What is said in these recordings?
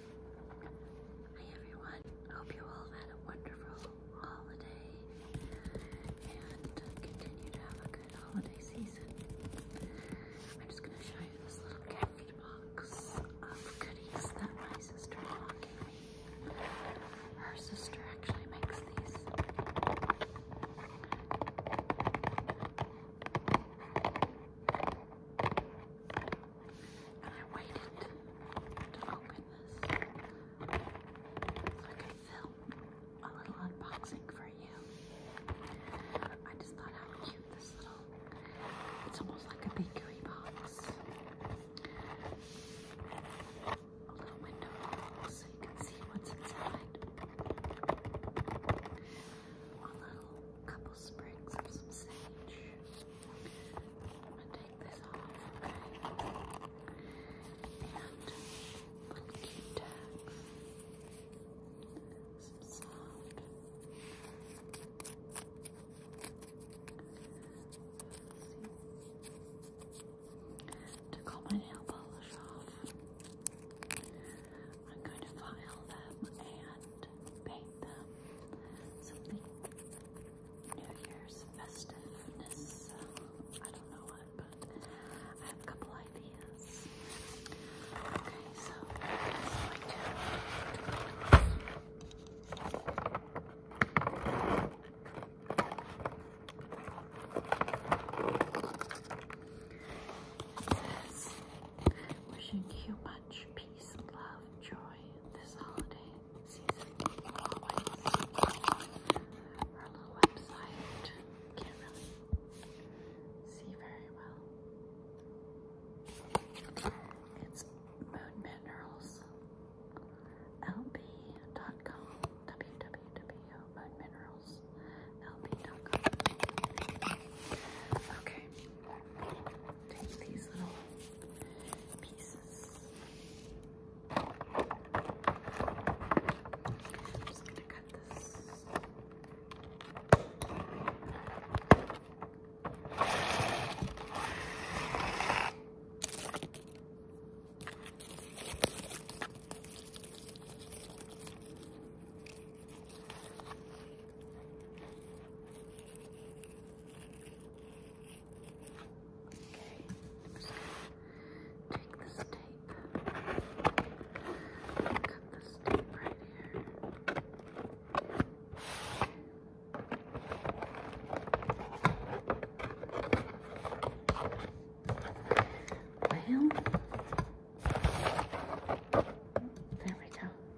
Hi everyone, hope you all had a wonderful holiday and continue to have a good holiday season. I'm just going to show you this little gift box of goodies that my sister gave me. Her sister actually makes these and I waited to oh, open this so I could film a little unboxing for you. I just thought how cute this little, it's almost like a bakery box. A little window so you can see what's inside. A little couple sprigs of some sage. I'm gonna take this off, okay? my nail polish off, I'm going to file them and and paint them something New Year's festiveness. Uh, I don't know what, but I have a couple ideas. Okay, so Wishing you much peace, love, joy this holiday season. Our little website can't really see very well. It's Moon Minerals. LB.com. www.moonminerals. LB.com. Okay take these little pieces. I'm just gonna cut this take this tape, cut this tape right here. Well, there we go.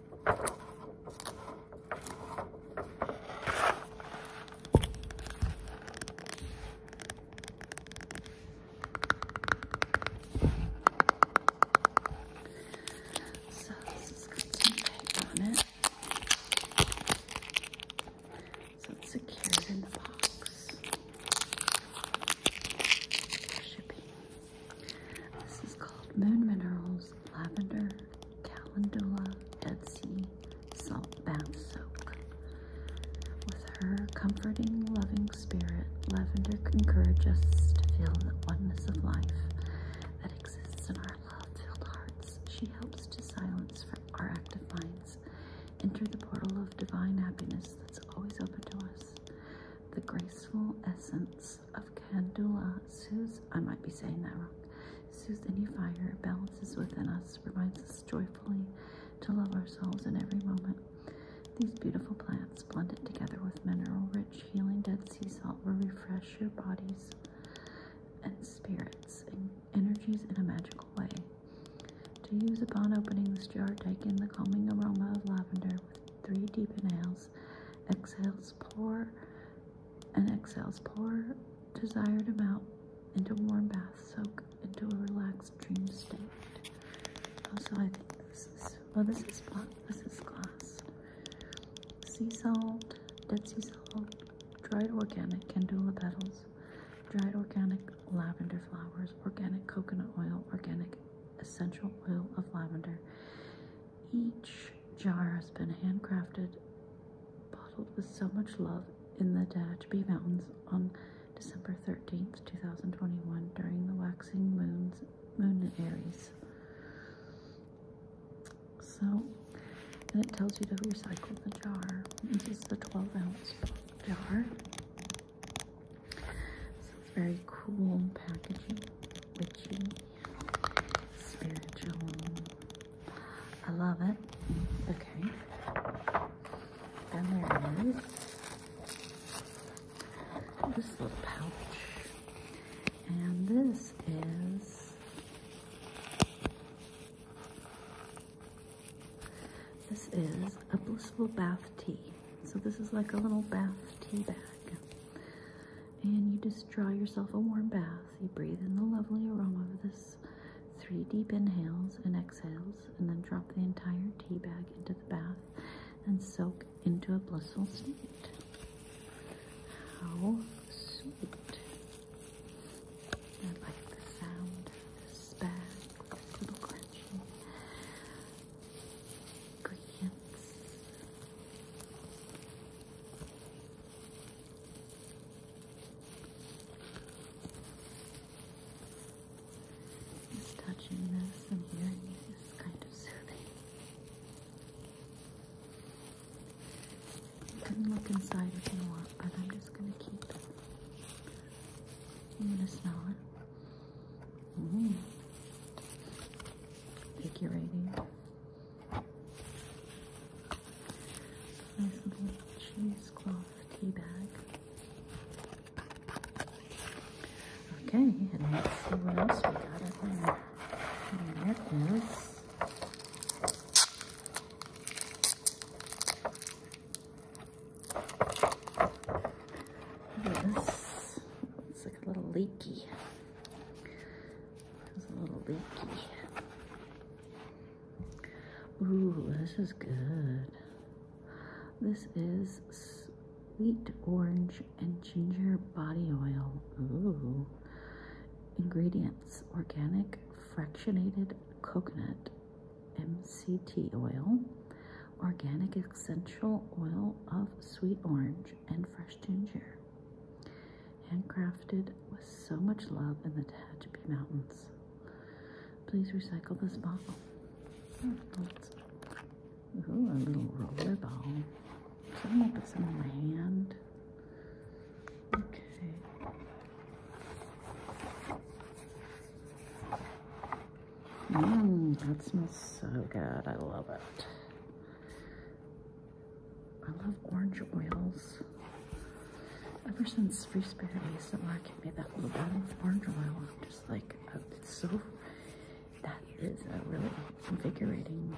So this has got tape on it. So it's secured in the box. This is called Moon Minerals. Lavender, Calendula, Etsy, Salt Bath Soak. With her comforting, loving spirit, Lavender encourages us to feel the oneness of life that exists in our love-filled hearts. She helps to silence our active minds, enter the portal of divine happiness that's always open to us. The graceful essence of Candula. Suze, I might be saying that wrong. Suze, any fire balances within us, reminds us joyfully to love ourselves in every moment. These beautiful plants, blended together with mineral-rich, healing dead sea salt, will refresh your bodies and spirits and energies in a magical way. To use upon opening this jar, take in the calming aroma of lavender with three deep inhales. Exhales pour, and exhales, pour desired amount into warm bath, soak into a relaxed dream state. Also, I think this is, well, this is this is glass. Sea salt, dead sea salt, dried organic candula petals, dried organic lavender flowers, organic coconut oil, organic essential oil of lavender, each jar has been handcrafted, bottled with so much love in the Dashby Mountains on December 13th, 2021, during the waxing moons, moon in Aries. So, and it tells you to recycle the jar. This is the 12 ounce jar. So it's very cool packaging witchy, spiritual. I love it. Okay. And there it is. this little pouch. And this is this is a blissful bath tea. So this is like a little bath tea bag and you just draw yourself a warm bath. You breathe in the lovely aroma of this three deep inhales and exhales, and then drop the entire tea bag into the bath and soak into a blissful state. How sweet! I like the sound of this bag with this little crunchy touching this and hearing it is kind of soothing. You can look inside if you want, but I'm just going to keep it. I'm going to smell it. Mm. Invigorating. Nice little cheesecloth tea bag. Okay, and let's see what else we got up there. that is Look It's like a little leaky. It's a little leaky. Ooh, this is good. This is sweet orange and ginger body oil. Ooh. Ingredients organic fractionated coconut MCT oil, organic essential oil of sweet orange, and fresh ginger. Handcrafted with so much love in the Tehachapi Mountains. Please recycle this bottle. Ooh, a little roller I'm gonna put some on my hand. Okay. Mmm, that smells so good. I love it. I love orange oils. Ever since Free Spirit ASMR gave me that little bottle of orange oil, I'm just like, uh, it's so, that is a really invigorating,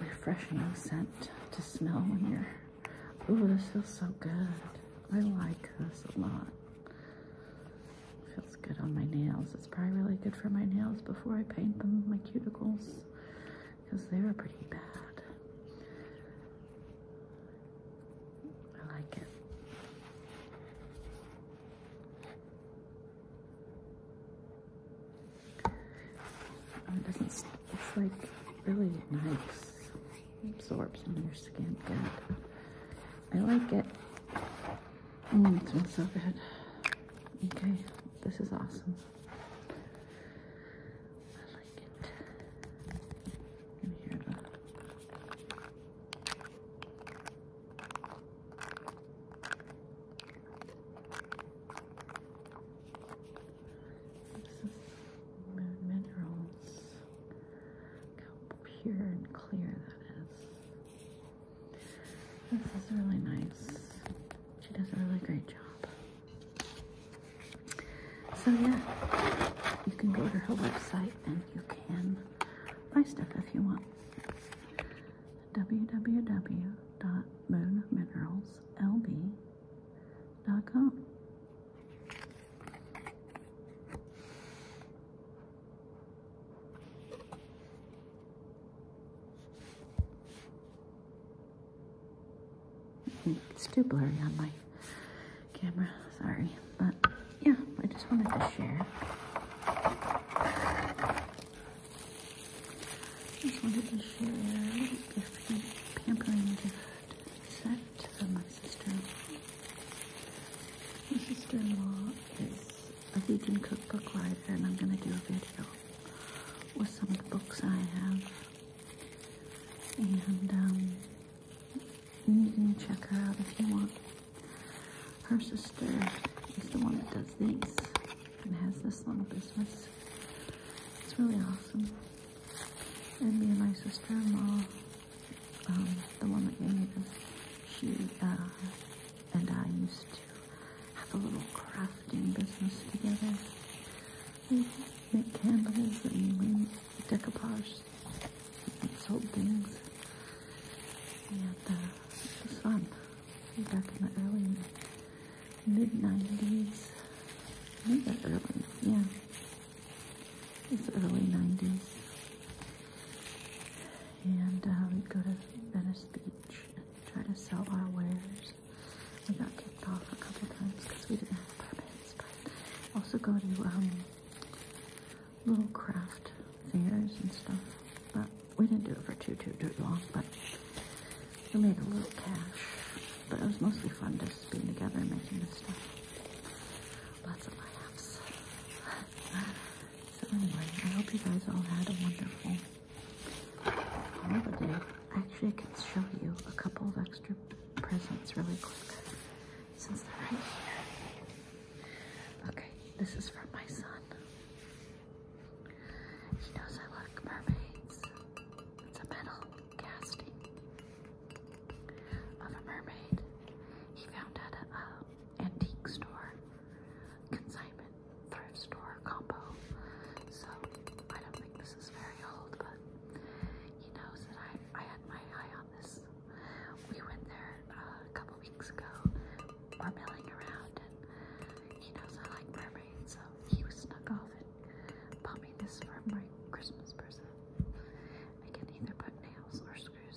refreshing scent to smell when you're, ooh, this feels so good. I like this a lot. Feels good on my nails. It's probably really good for my nails before I paint them, my cuticles, because they were pretty bad. I like it. Oh, it doesn't, it's like really nice. absorbs in your skin good. I like it. Mm, it smells so good. Okay, this is awesome. I like it. minerals. how pure and clear that is. This is really nice. She does a really great job. So yeah, you can go to her website and you can buy stuff if you want. www.moonmineralslb.com it's too blurry on my camera, sorry. But yeah, I just wanted to share. I just wanted to share a little gift, pampering gift set for my sister. My sister-in-law is a vegan cookbook writer and I'm going to do a video with some of the books I have. And um, you can check her out if you want. Her sister is the one that does these and has this little business. It's really awesome. And me and my sister-in-law, um, the one that gave me this, she uh, and I used to have a little crafting business together. We make candles and we decoupage and sell things. We had the, sun back in the early mid-90s. I think early, yeah. It's early 90s and uh, we'd go to Venice Beach and try to sell our wares. We got kicked off a couple times because we didn't have permits, but also go to um, little craft fairs and stuff. But we didn't do it for too, too, too long, but we made a little cash. But it was mostly fun just being together and making this stuff. Lots of laughs. So anyway, I hope you guys all had a wonderful holiday. Actually, I can show you a couple of extra presents really quick since they're right here. Okay, this is from my son. He knows I like mermaids. It's a metal casting of a mermaid. He found at antique store, consignment, thrift store combo. So I don't think this is very old, but he knows that I, I had my eye on this. We went there uh, a couple weeks ago. We're milling around, and he knows I like mermaids, so he was snuck off and bought me this for my Christmas present. I can either put nails or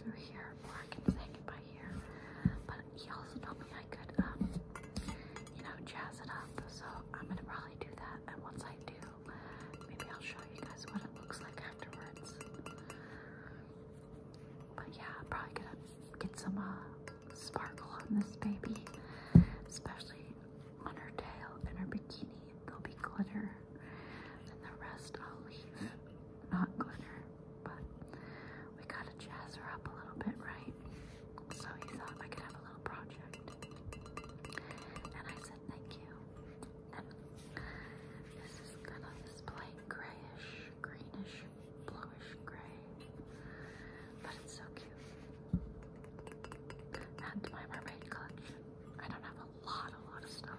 through here, or I can say goodbye here. But he also told me I could, um, you know, jazz it up. So I'm gonna probably do that. And once I do, maybe I'll show you guys what it looks like afterwards. But yeah, probably gonna get some uh, sparkle on this baby, especially on her tail and her bikini. There'll be glitter, and the rest I'll leave not glitter. But we gotta jazz her up a little bit, right? So he thought I could have a little project. And I said thank you. this is kind of this plain grayish, greenish, bluish gray. But it's so cute. Add my mermaid collection. I don't have a lot, a lot of stuff,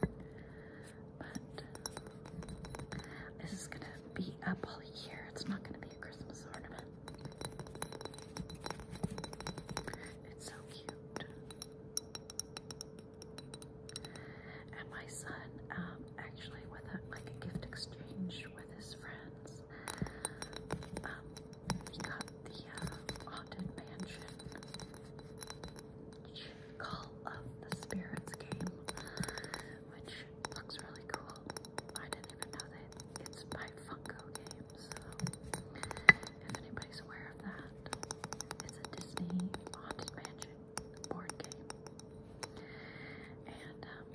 But this is gonna be up all year. It's not gonna be a Christmas ornament. It's so cute. And my son, um, actually, with like a gift exchange with his friends, um, he got the uh, haunted mansion Call of the Spirits game, which looks really cool. I didn't even know that it's by Funko Games, if anybody's aware of that, it's a Disney Haunted Mansion board game. And um,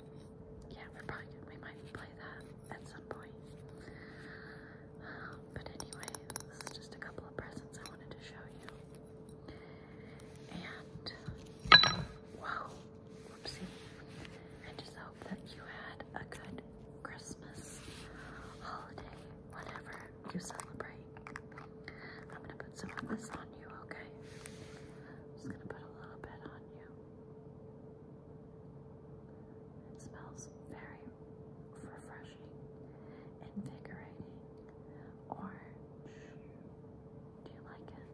yeah, we're probably we might play that at some point but anyway, this is just a couple of presents I wanted to show you. And whoa, whoopsie. I just hope that you had a good Christmas, holiday, whatever you celebrate. I'm gonna put some of this on you, okay? just gonna put a little bit on you. It smells very refreshing, invigorating, orange. Do you like it?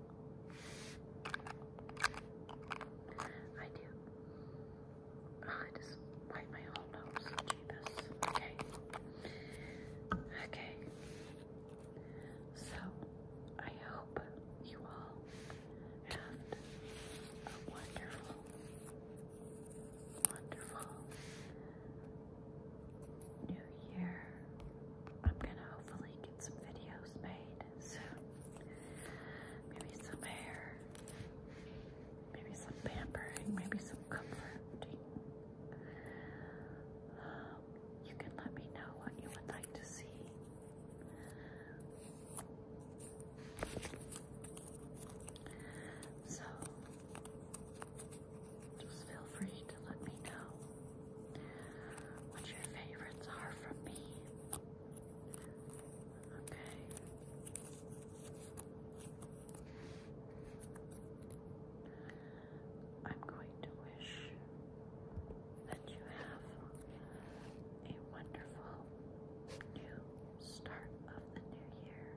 I do. I just wipe my whole nose. Okay. Okay. So, I hope you all have a wonderful wonderful new year. I'm gonna hopefully get some videos made soon. Maybe some hair, maybe some pampering, maybe some comforting. Um, you can let me know what you would like to see. So just feel free to let me know what your favorites are from me. Okay. I'm going to wish that you have a wonderful new start of the new year.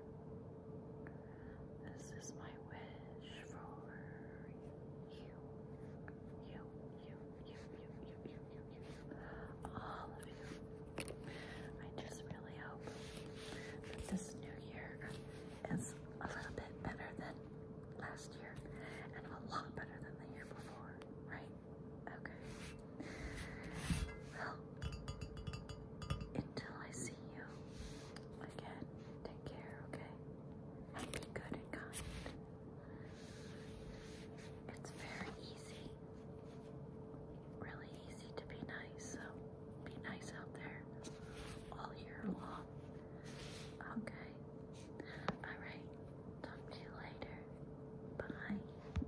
This is my wish for you, you, you, you, you, you, you, you, you, all of you. I just really hope that this new year is a little bit better than last year and a lot better than the year before, right? Okay. Well, until I see you again, take care, okay? And be good and kind. It's very easy, really easy to be nice, so be nice out there all year long. Okay? Alright, talk to you later. Bye.